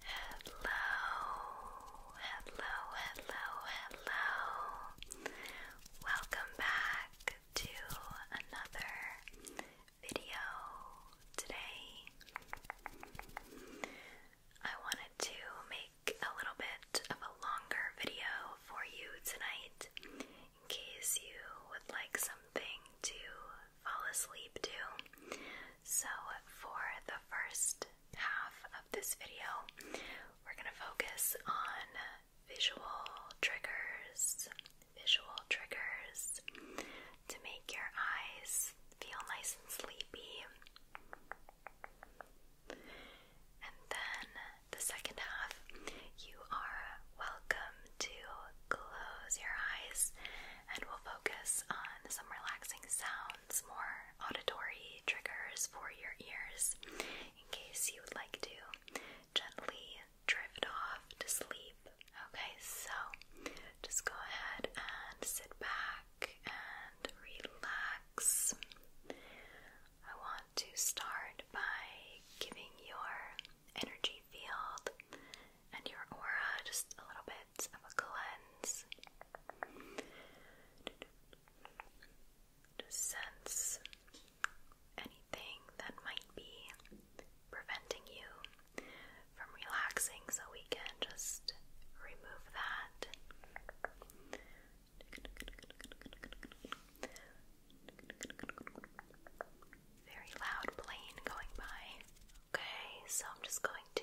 Hello, hello, hello, hello. Welcome back to another video today. I wanted to make a little bit of a longer video for you tonight in case you would like something to fall asleep to. So, for the first half of this video, we're going to focus on visual triggers, visual triggers to make your eyes feel nice and sleepy. And then the second half, you are welcome to close your eyes and we'll focus on some relaxing sounds, more auditory triggers for your ears in case you would like to gently drift off to sleep. Okay, so just go ahead and sit back and relax. I want to start by giving your energy field and your aura just a little bit of a cleanse sense anything that might be preventing you from relaxing, so we can just remove that. Very loud plane going by. Okay, so I'm just going to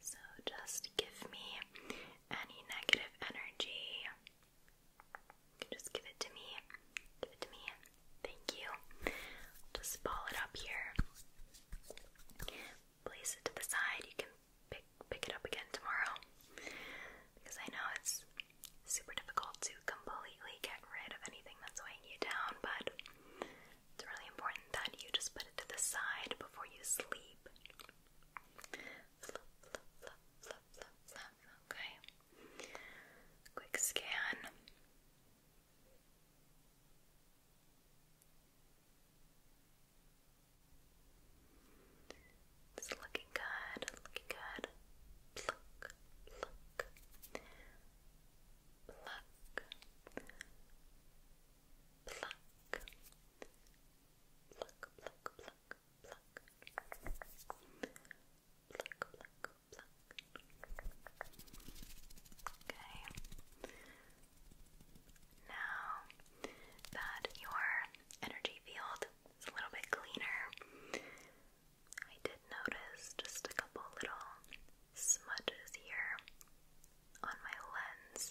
so just give me any negative energy. Just give it to me. Give it to me. Thank you. Just ball it up here place it to the side. You can pick pick it up again tomorrow because I know it's super difficult to completely get rid of anything that's weighing you down, but it's really important that you just put it to the side before you sleep. Okay. Quick scan. It's looking good, looking good. Pluck, pluck, pluck, pluck, pluck, pluck, pluck, pluck, pluck, Okay. Now that your energy field is a little bit cleaner, I did notice just a couple little smudges here on my lens.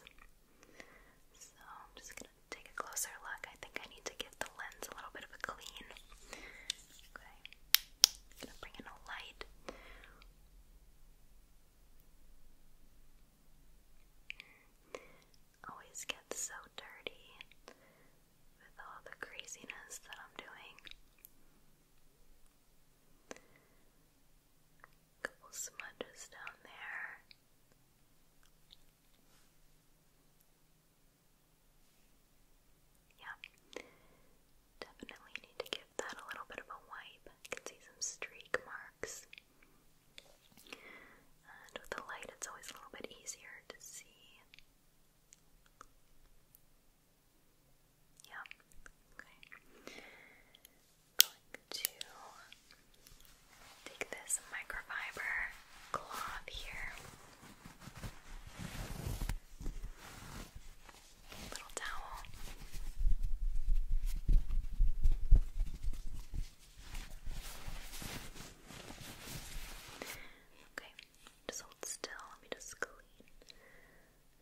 So I'm just gonna take a closer look. I think I need to give the lens a little bit of a clean. Okay, gonna bring in a light. Always get so dirty with all the craziness that I'm doing. couple smudges down there. Yeah, definitely need to give that a little bit of a wipe. I can see some streak marks. And with the light, it's always a little bit easier to see. Yeah, okay. going to take this microfiber cloth here. Little towel. Okay, just hold still. Let me just clean,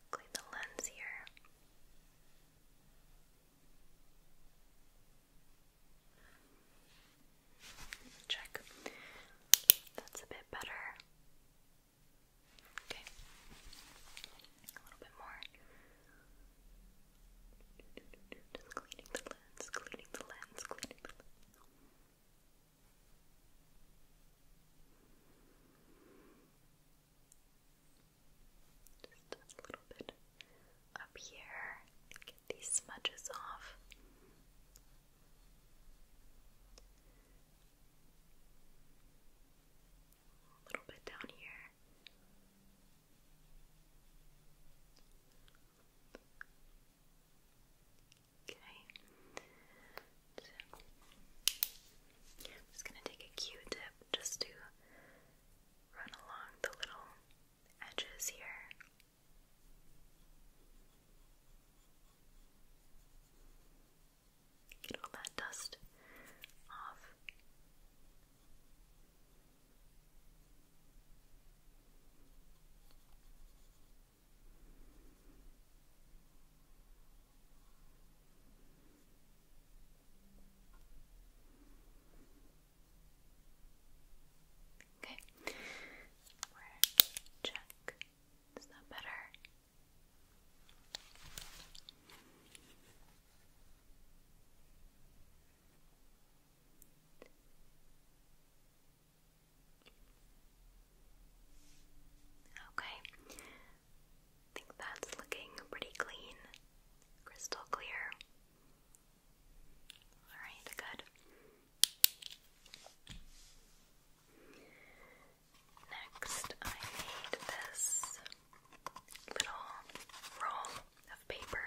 clean the lens here. Check. That's a bit better. Okay. A little bit more. Just cleaning the lens, cleaning the lens, cleaning Just a little bit up here, get these smudges off. A little bit down here. Okay. So I'm just gonna take a Q-tip just to run along the little edges here. Get all that dust off. Okay. Where check. Is that better? Okay, I think that's looking pretty clean, crystal clear. Alright, good. Next, I made this little roll of paper.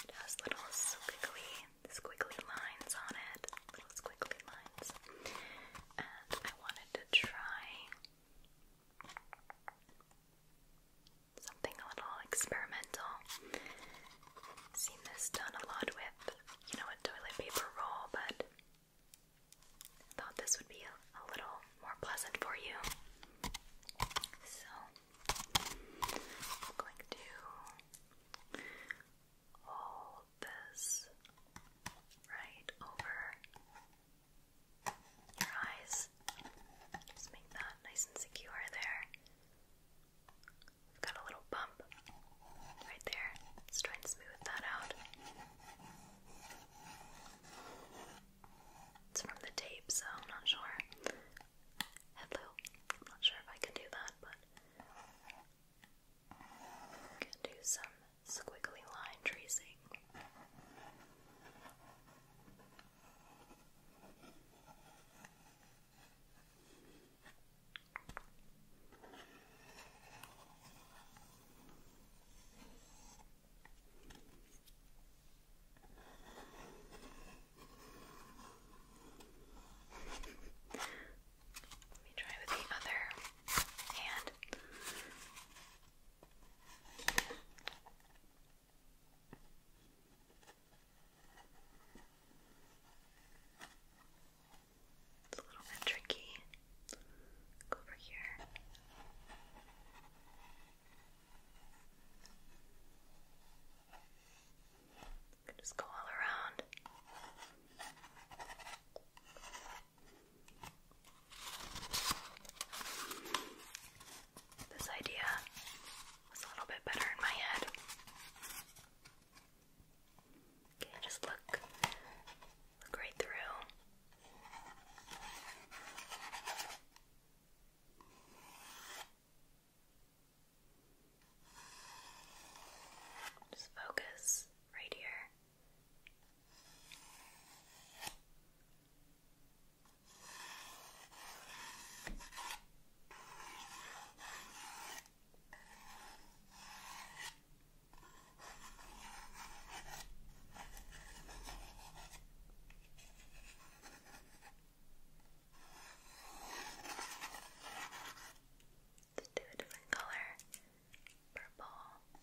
It little squiggly, squiggly lines on it, little squiggly lines. And I wanted to try something a little experimental. seen this done a lot with, you know, toilet paper roll, but thought this would be a, little more pleasant for you. So, going to hold this right over your eyes. Just make that nice and secure there. I've got a little bump right there. Let's try and smooth that out. It's from the tape, so I'm not sure. Hello. I'm not sure if I can do that, but can do some squiggly line tracing. Let me try with the other hand. Okay. It's a little bit tricky. Go over here. just go all around. This idea was a little bit better in my head. Okay, just look. Look right through. Just focus right here. Let's do a different color, purple. Okay.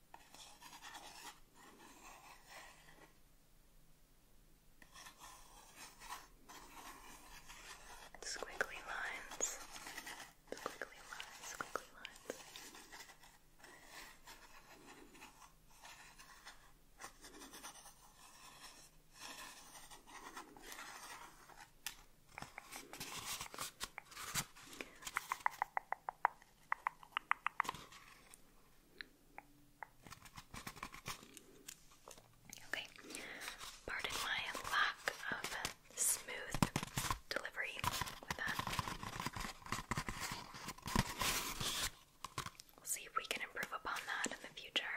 Squiggly lines. Squiggly lines, squiggly lines. Okay, pardon my lack of smooth delivery with that. We'll see if we can improve upon that in the future.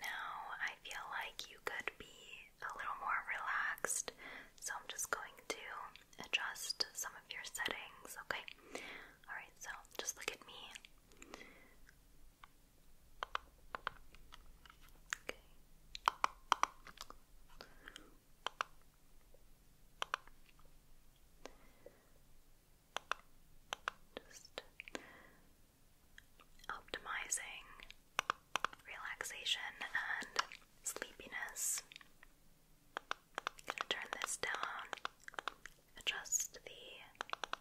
Now, I feel like you could be a little more relaxed. So I'm just going to adjust some of your settings, okay? Alright, so just look at me. Okay. Just optimizing relaxation and sleepiness. turn this down, adjust the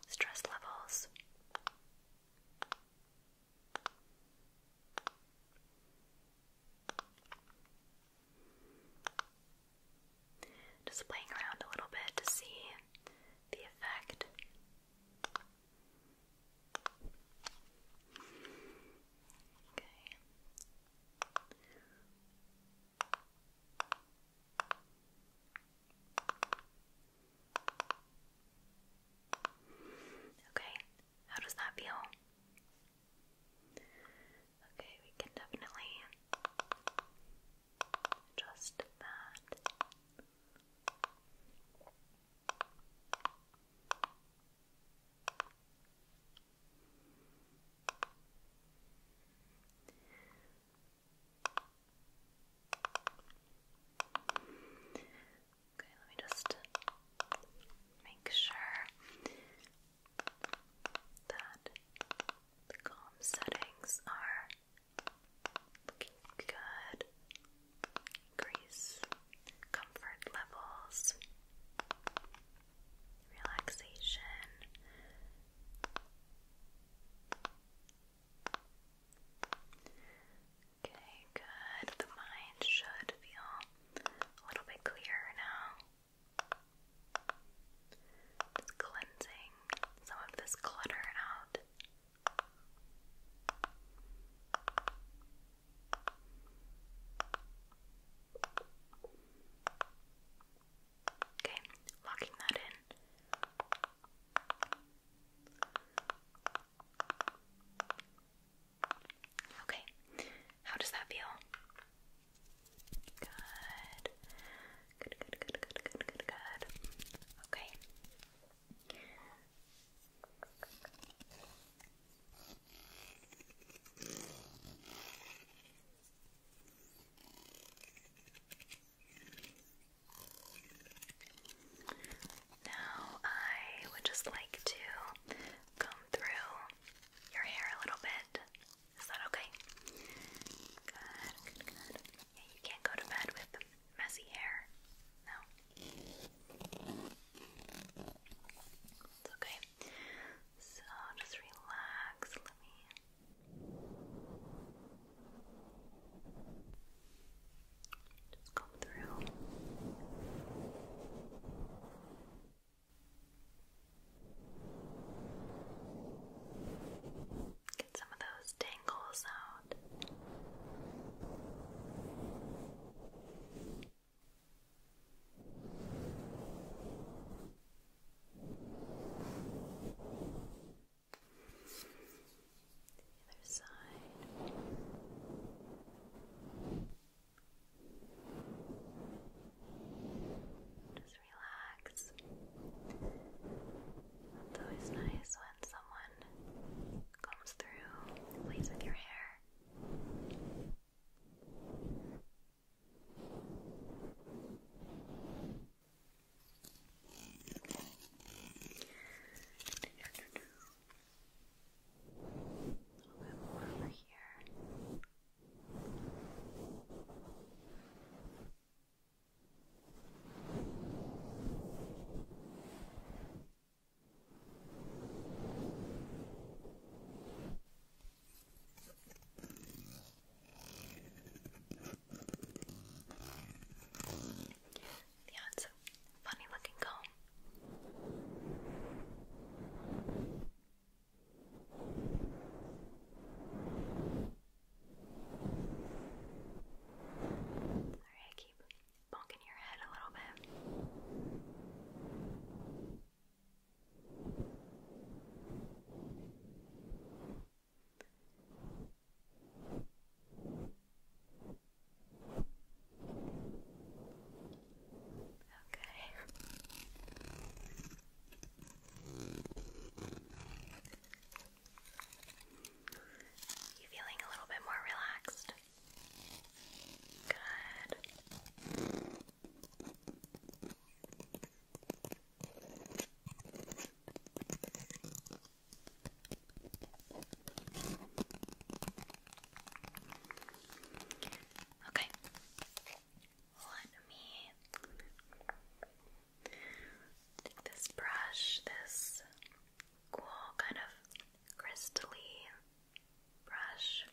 stress levels. Just playing around a little bit to see the effect. Okay. Okay, how does that feel? Okay, we can definitely adjust that. Okay, let me just make sure that the calm settings are looking good. Increase comfort levels, relaxation. Okay, good. The mind should feel a little bit clearer now. Just cleansing some of this clutter out. Okay, locking that in. Okay, how does that feel? Good. Good, good, good, good, good, good, Okay. Now, I would just like to comb through your hair a little bit. Is that okay? Good, you can't go to bed with messy hair. No. It's okay. So just relax. Let me. Just come through. Get some of those tangles out other side. Just relax. always nice when someone comes through, plays with your hair little bit more over here. Good. Yeah, it's a funny looking comb. Sorry, I keep bonking your head a little bit. Okay. You feeling a little bit more relaxed? Good. Okay. Let me this brush, this cool kind of crystally brush.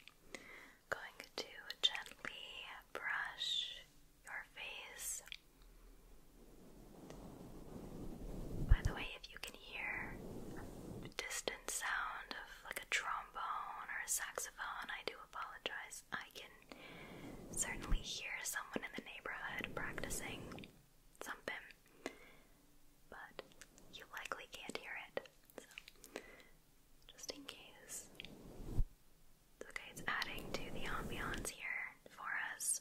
Going to gently brush your face. By the way, if you can hear distant sound of like a trombone or a saxophone, I do apologize. I can certainly hear someone in the neighborhood practicing something but you likely can't hear it. So, just in case. okay, it's adding to the ambiance here for us.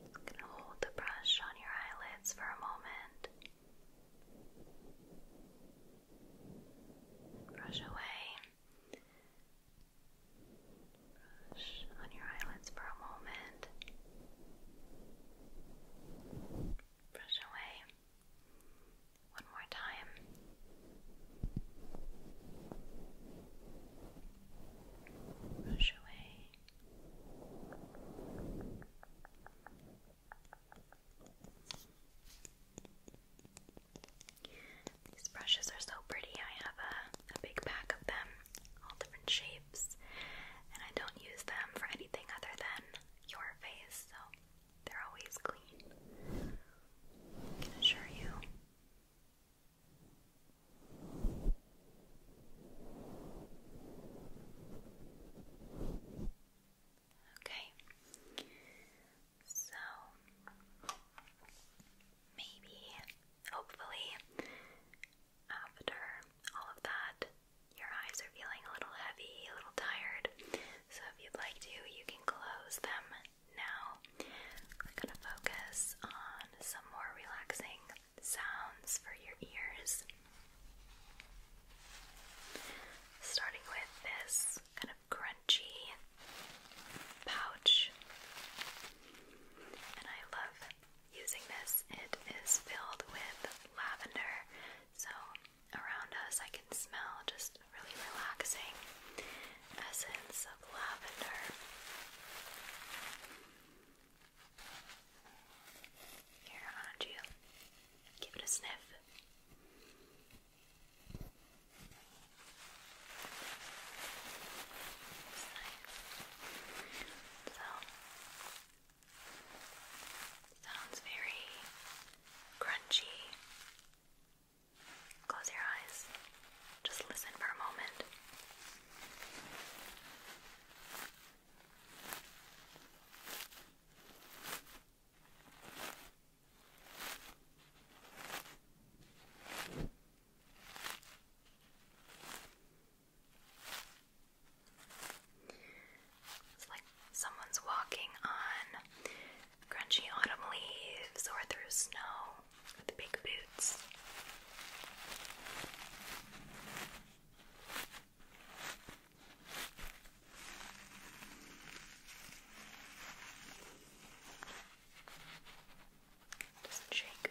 You can hold the brush on your eyelids for a moment. Brush away. Brush on your eyelids for a moment. Brush away. One more time brush away. These brushes are so pretty. I have a, a big pack of them, all different shapes, and I don't use them for anything other than your face, so they're always clean. I can assure you. Okay, so maybe, hopefully, after all of that, your eyes are feeling a little heavy, a little tired. So, if you'd like to, you can close them now we're going to focus on some more relaxing sounds for your ears. Starting with this kind of crunchy pouch. And I love using this. It is filled with lavender, so around us I can smell just really relaxing essence of lavender. Here around you. Give it a sniff. So sounds very crunchy. Close your eyes. Just listen for a moment. It's like someone's walking on crunchy autumn leaves or through snow with the big boots. Doesn't shake.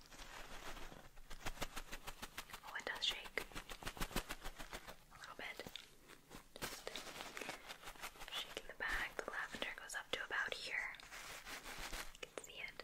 Oh, it does shake a little bit. shaking the back. The lavender goes up to about here. You can see it.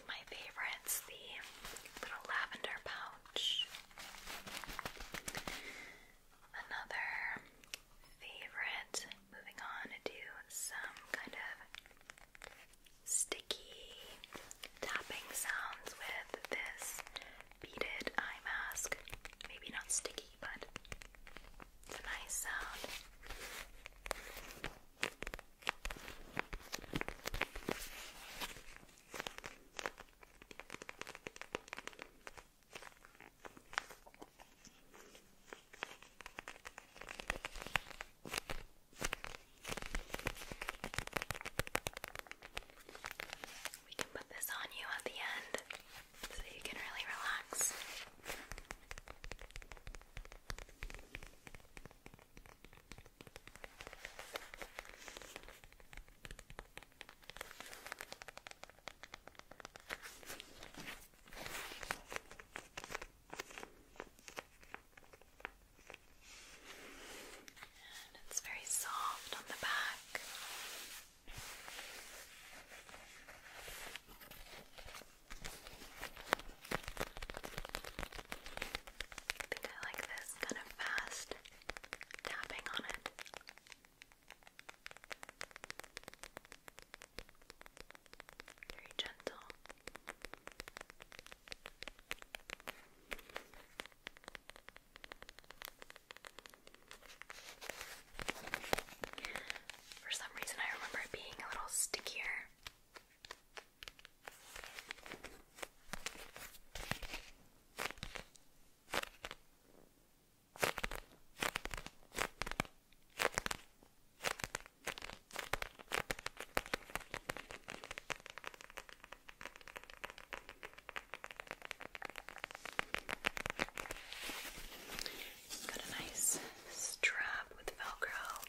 of my favorites the little lavender pouch. Another favorite. Moving on to some kind of sticky tapping sounds with this beaded eye mask. Maybe not sticky, but it's a nice sound. We can put this on you at the end so you can really relax. And it's very soft on the back. I think I like this kind of fast tapping on it. Very gentle. For some reason, I remember it being a little stickier it's got a nice strap with Velcro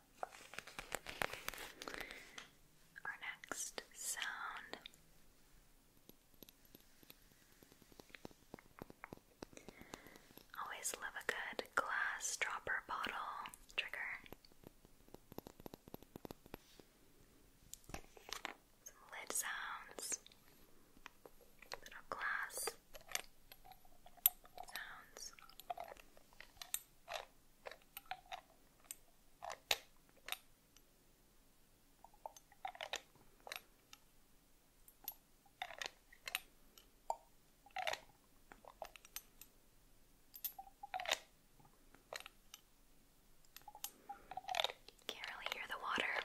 Our next sound always love a good glass dropper bottle trigger. Some lid sounds, little glass sounds. Can't really hear the water.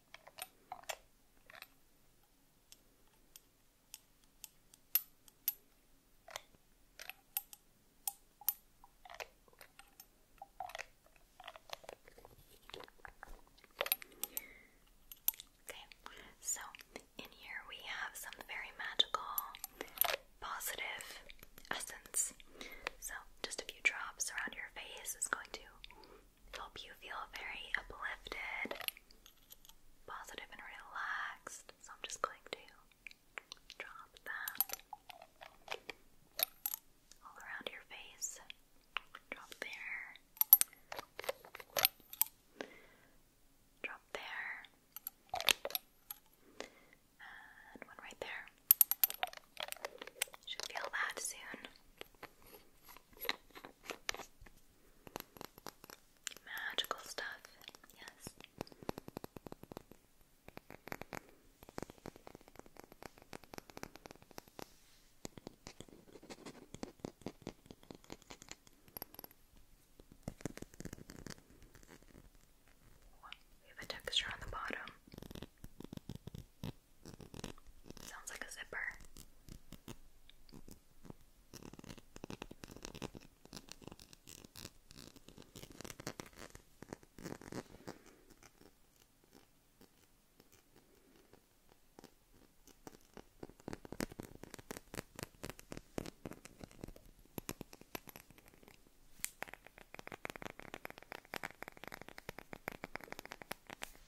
Okay, so in here we have some very magical positive essence. So, just a few drops around your face is going to Hope you feel very uplifted, positive, and relaxed. So I'm just going to drop that all around your face. Drop there. Drop there. And one right there. Should feel that soon. Magical stuff, yes. We have a texture on the bottom. Sounds like a zipper.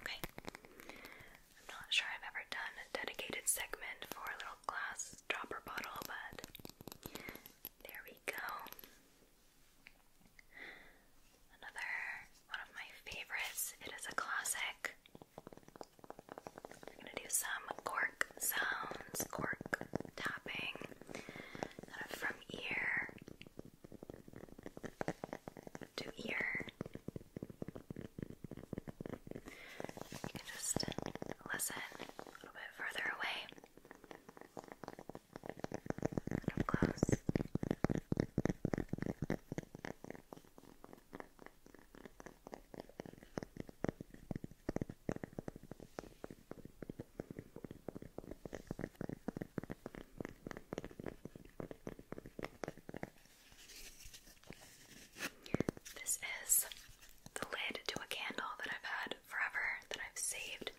Okay. I'm not sure I've ever done a dedicated segment for a little glass dropper bottle, but there we go. Another one of my favorites. It is a classic. I'm gonna do some cork sounds, cork tapping, from ear do ear. You can just listen a little bit further away. Up close. This is the lid to a candle that I've had forever that I've saved.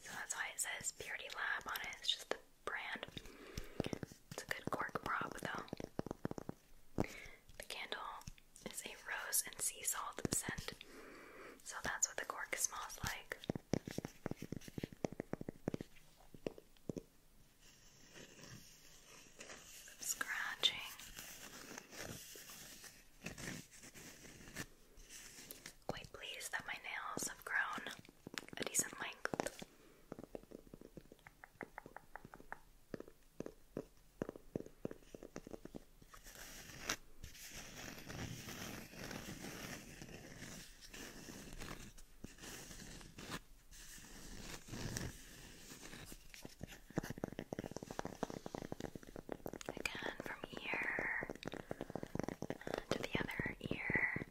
So that's why it says Purity Lab on it. It's just the brand. It's a good cork prop though. The candle is a rose and sea salt scent. So that's what the cork smells like. Scratching quite pleased that my nails have grown a decent length. Again, from here to the other ear.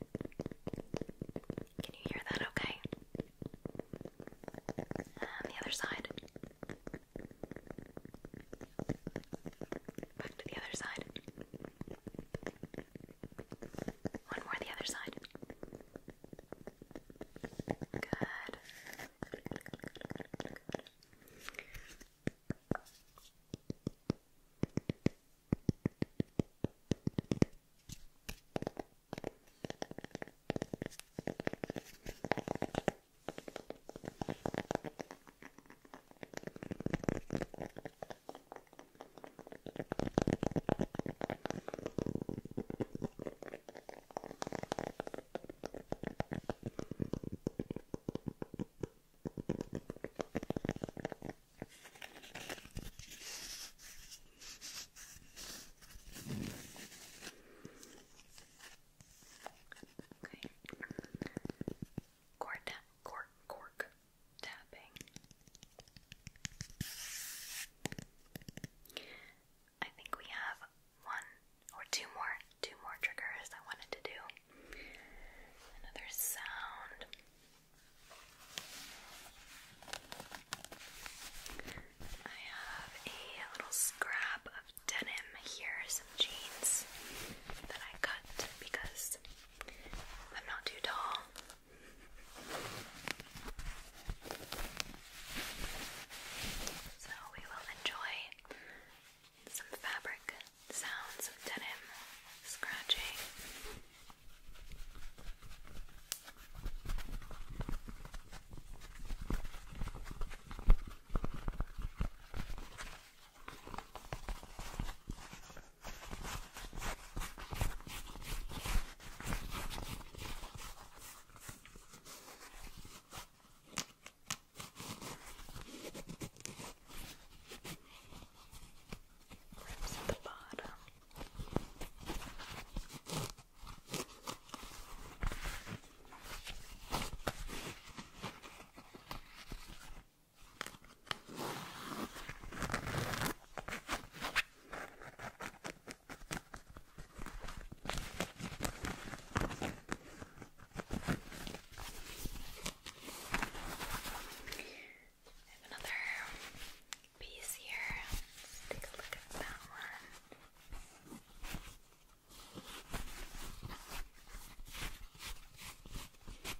Can you hear that okay? And um, the other side. Back to the other side. One more the other side. Good. Good, good, good, good, good. Good. Okay. Cork, cork, cork, tapping. I think we have one or two more, two more triggers I wanted to do. Another sound. I have a little scrap of denim here, some jeans that I cut because I'm not too tall. So we will enjoy some fabric sounds of denim scratching. Rips at the bottom. I have another piece here. Let's take a look at that one.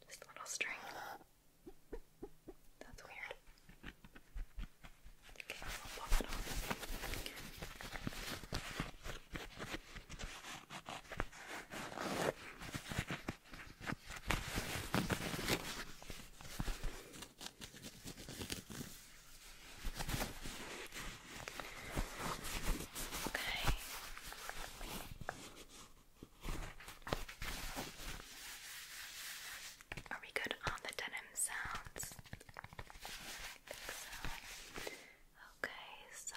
Just a little string. That's weird. Okay, I'll pop it on. Okay. Are we good on the denim sounds? Okay, so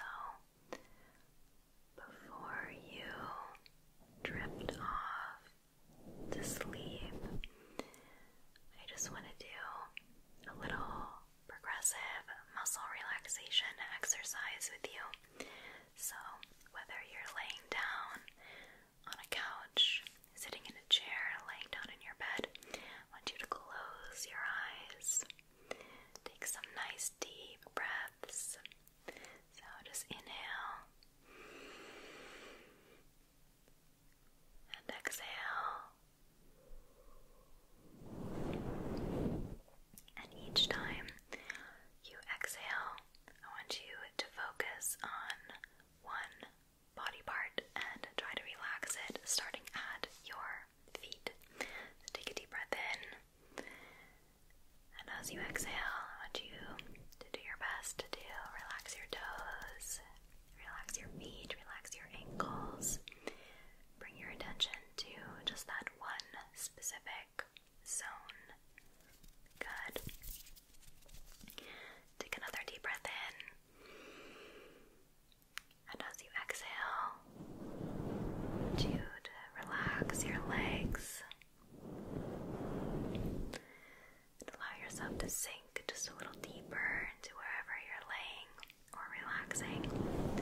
before you drift off to sleep, I just want to do a little progressive muscle relaxation exercise with you. So, whether you're laying down on a couch, sitting in a chair, laying down in your bed, I want you to close your eyes. Take some nice deep breaths. So just inhale and exhale. And each time you exhale, I want you to focus on one body part and try to relax it starting at your feet. take a deep breath in and as you exhale, I want you to do your best to do relax your toes, relax your feet, relax your ankles. Bring your attention to just that one specific zone. Good. Take another deep breath in. And as you exhale, to relax your legs allow yourself to sink just a little deeper into wherever you're laying or relaxing.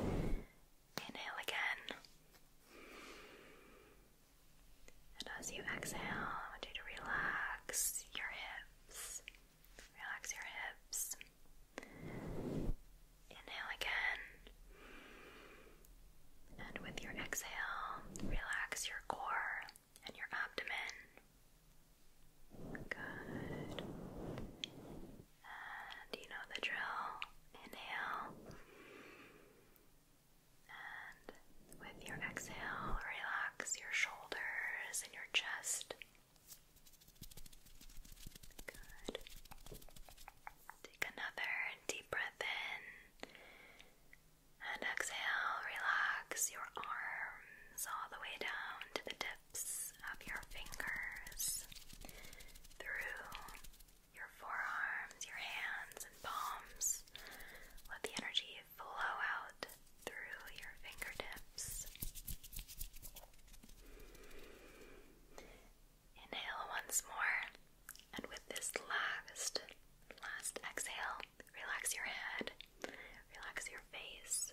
Inhale again. And as you exhale, I want you to relax your hips. Relax your hips. Inhale again. And with your exhale, relax your core and your abdomen. Good. And you know the drill. Inhale. And with your exhale, relax your shoulders and your chest. Good. Take another deep breath in and exhale. Relax your arms all the way down to the tips of your fingers through your forearms, your hands, and palms. Let the energy flow out through your fingertips. Inhale once more, and with this last, last exhale, relax your head, relax your face.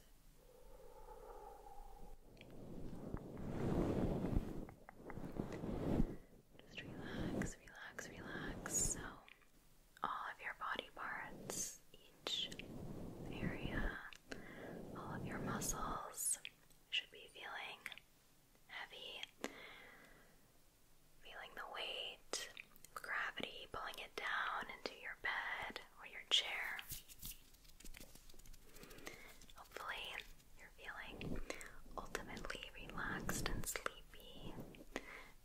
Just relax, relax, relax. So, all of your body parts, each area, all of your muscles should be feeling heavy, feeling the weight gravity pulling it down into your bed or your chair. Hopefully, you're feeling ultimately relaxed and sleepy.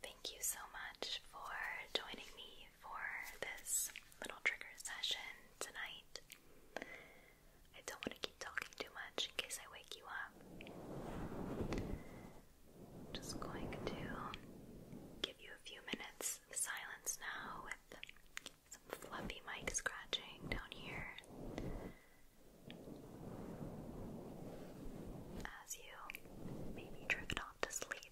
Thank you so much for joining me for this little trigger session tonight. I don't want to keep talking too much in case I wake you up. Just going to give you a few minutes silence now with some fluffy mic scratching down here as you maybe drift off to sleep.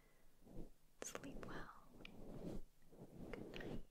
Sleep well. Good night.